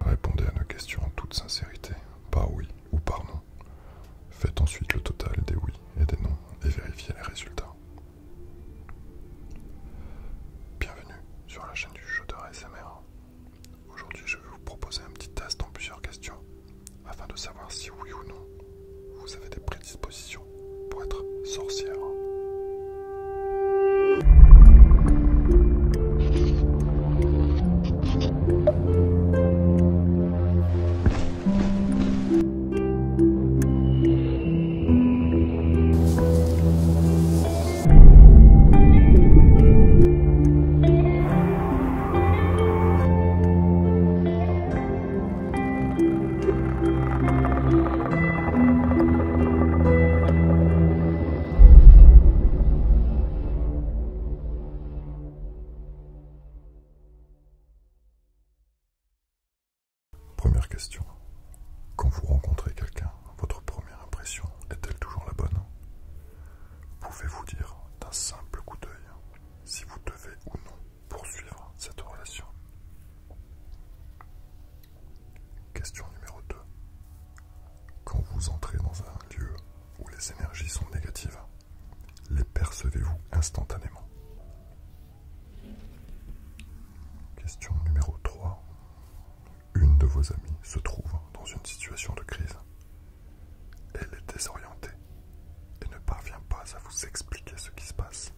Répondez à nos questions en toute sincérité, par oui ou par non. Faites ensuite le total des oui et des non et vérifiez les résultats. Bienvenue sur la chaîne du de R.S.M.R. Aujourd'hui, je vais vous proposer un petit test en plusieurs questions afin de savoir si oui ou non vous avez des prédispositions pour être sorcière. Première question. Quand vous rencontrez quelqu'un, votre première impression est-elle toujours la bonne Pouvez-vous dire d'un simple coup d'œil si vous devez ou non poursuivre cette relation. Question numéro 2. Quand vous entrez dans un lieu où les énergies sont négatives, les percevez-vous instantanément Question numéro 3. Une de vos amies se trouve dans une situation de crise. Elle est désorientée et ne parvient pas à vous expliquer ce qui se passe.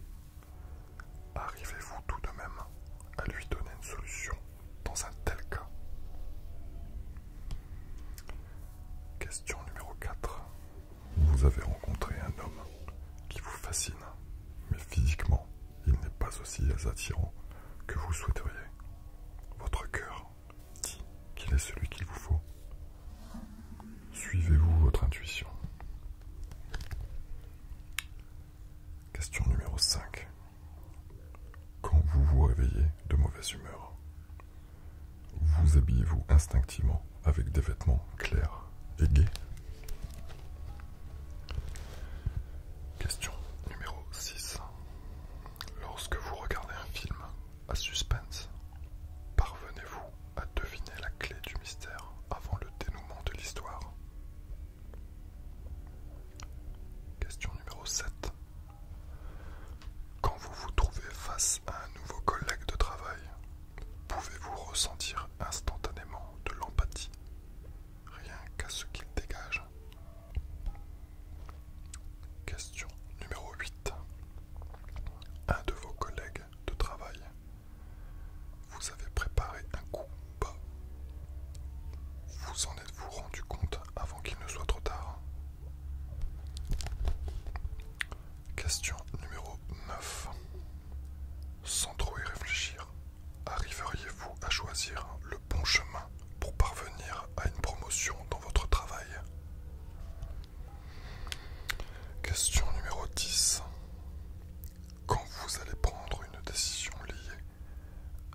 Arrivez-vous tout de même à lui donner une solution dans un tel cas Question numéro 4. Vous avez rencontré un homme qui vous fascine, mais physiquement, il n'est pas aussi attirant que vous souhaiteriez. Votre cœur dit qu'il est celui qu'il vous faut. Suivez-vous votre intuition Question numéro 5. Quand vous vous réveillez de mauvaise humeur, vous habillez-vous instinctivement avec des vêtements clairs et gais Question numéro 6. Lorsque vous regardez un film à suspense, parvenez-vous à deviner la clé du mystère avant le dénouement de l'histoire. Question numéro 7. Quand vous vous trouvez face à un nouveau collègue de travail, pouvez-vous ressentir instantanément de l'empathie, rien qu'à ce qu'il dégage Question numéro 8. Un de vos collègues de travail vous avez préparé un coup bas. Vous en êtes-vous rendu compte avant qu'il ne soit trop tard Question numéro 9. Sans trop y réfléchir, arriveriez-vous à choisir le bon chemin pour parvenir à une promotion dans votre travail Question numéro 10. Quand vous allez prendre une décision liée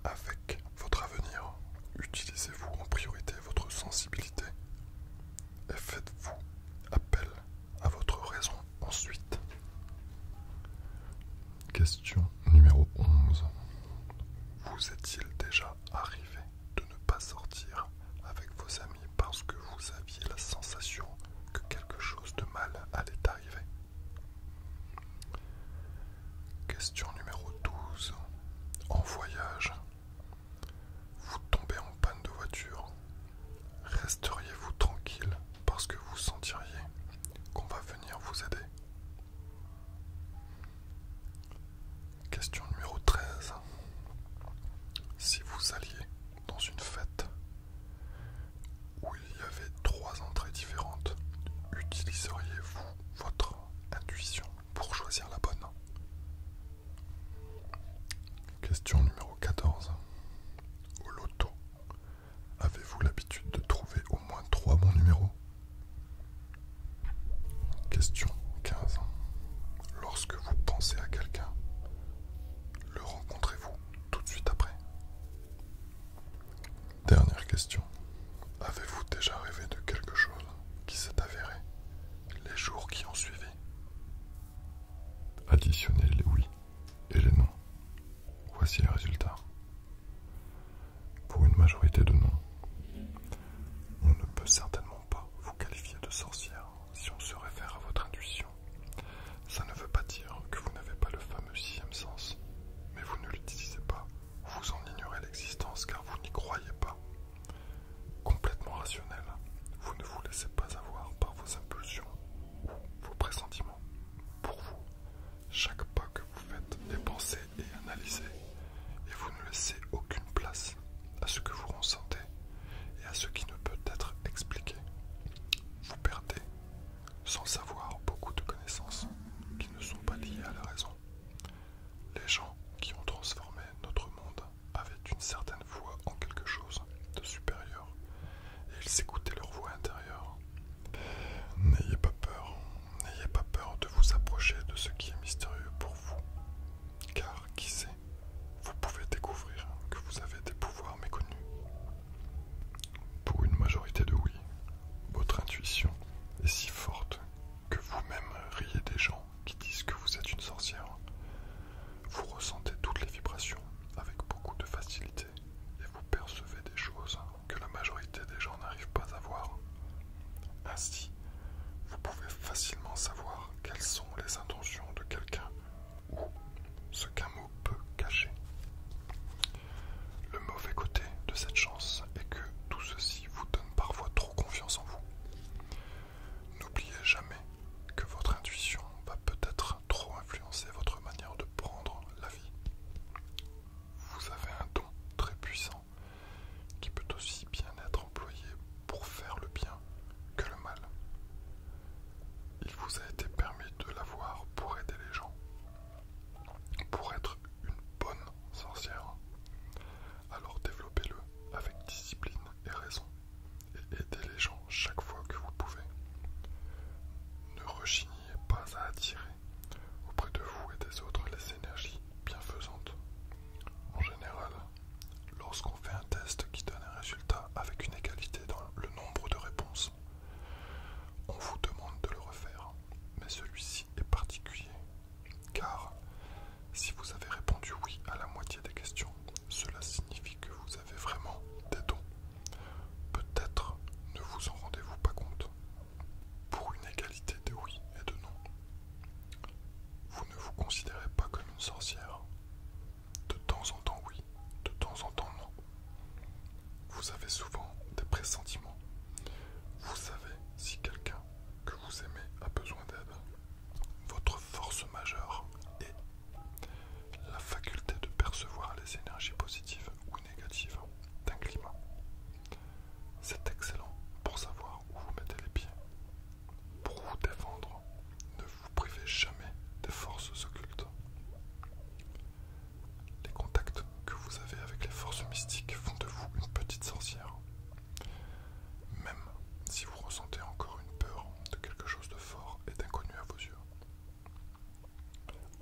avec votre avenir, utilisez-vous en priorité votre sensibilité et faites-vous appel à votre raison ensuite. Question numéro 11. Vous est-il déjà arrivé de ne pas sortir avec vos amis parce que vous aviez la sensation que quelque chose de mal allait arriver. Question numéro 12. En voyage, vous tombez en panne de voiture. Resteriez-vous tranquille parce que vous sentiriez qu'on va venir vous aider Question numéro 13. Si vous alliez dans une fête où il y avait trois entrées différentes. Utiliseriez-vous votre intuition pour choisir la bonne Question numéro 14. Au loto, avez-vous l'habitude de trouver au moins trois bons numéros Question 15. Lorsque vous pensez à quelqu'un, le rencontrez-vous tout de suite après. Dernière question. Avez-vous déjà rêvé de quelque chose qui s'est avéré les jours qui ont suivi Additionnez les oui et les non. Voici les résultats. Pour une majorité de non, on ne peut certainement pas vous qualifier de sorcière si on se réfère à votre intuition, ça ne veut pas dire que vous n'avez pas le fameux sixième sens, mais vous ne l'utilisez pas, vous en ignorez l'existence car vous n'y croyez pas. Complètement rationnel, vous ne vous laissez pas avoir par vos impulsions ou vos pressentiments. Pour vous, chaque pas que vous faites est pensé et analysé, et vous ne laissez aucune place à ce que vous ressentez et à ce qui ne peut être expliqué. Vous perdez, sans savoir, beaucoup de connaissances qui ne sont pas liées à la raison. Les gens qui ont transformé notre monde avaient une certaine voix en quelque chose de supérieur, et ils écoutaient leur voix intérieure. N'ayez pas peur, n'ayez pas peur de vous approcher de ce qui est mystérieux pour vous, car qui sait vous pouvez découvrir que vous avez des pouvoirs méconnus. Pour une majorité de oui, votre intuition est si forte que vous-même riez des gens qui disent que vous êtes une sorcière. Vous ressentez toutes les vibrations avec beaucoup de facilité et vous percevez des choses que la majorité des gens n'arrivent pas à voir. Ainsi, vous pouvez facilement savoir quelles sont les intentions de quelqu'un ou ce qu'un mot peut cacher. Le mauvais côté de cette chance est que tout ceci vous donne parfois trop confiance en vous. N'oubliez jamais que votre intuition va peut-être trop influencer votre manière de prendre la vie. Vous avez un don très puissant qui peut aussi bien être employé pour faire le bien que le mal il vous a été permis de l'avoir pour aider les gens, pour être une bonne sorcière. Alors développez-le avec discipline et raison et aidez les gens chaque fois que vous pouvez. Ne rechignez pas à attirer auprès de vous et des autres les énergies bienfaisantes. En général, lorsqu'on fait test qui donne un résultat avec une égalité dans le nombre de réponses. On vous demande de le refaire, mais celui-ci est particulier, car si vous avez répondu oui à la moitié des questions, cela signifie que vous avez vraiment des dons. Peut-être ne vous en rendez-vous pas compte. Pour une égalité de oui et de non, vous ne vous considérez pas comme une sorcière, de temps en temps oui, de temps en temps non. Vous avez souvent des pressentiments. Vous savez si quelqu'un que vous aimez a besoin d'aide. Votre force majeure est la faculté de percevoir les énergies positives ou négatives d'un climat. C'est excellent pour savoir où vous mettez les pieds. Pour vous défendre, vous vous privez jamais des forces occultes. Les contacts que vous avez avec les forces mystiques font de vous une petite sorcière. Même si vous ressentez encore une peur de quelque chose de fort et d'inconnu à vos yeux.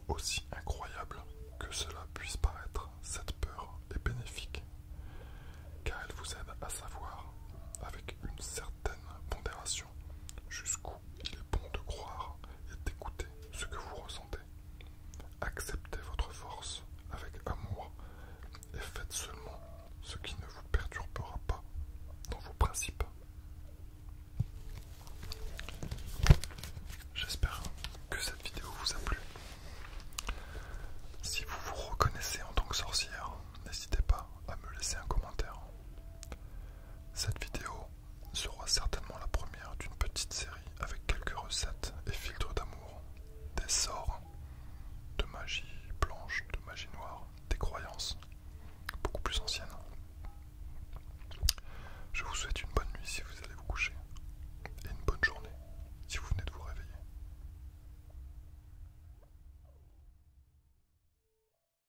Aussi incroyable que cela puisse paraître, cette peur est bénéfique, car elle vous aide à savoir, avec une certaine pondération, jusqu'où il est bon de croire et d'écouter ce que vous ressentez. Acceptez votre force avec amour et faites seulement ce qui ne vous perturbera pas dans vos principes. J'espère que cette vidéo vous a plu. Si vous vous reconnaissez en tant que sorcière, n'hésitez pas à me laisser un commentaire. Cette vidéo sera certainement la première d'une petite série avec quelques recettes et filtres d'amour, des sorts, de magie blanche, de magie noire, des croyances, beaucoup plus anciennes. Je vous souhaite une bonne nuit si vous allez vous coucher et une bonne journée si vous venez de vous réveiller.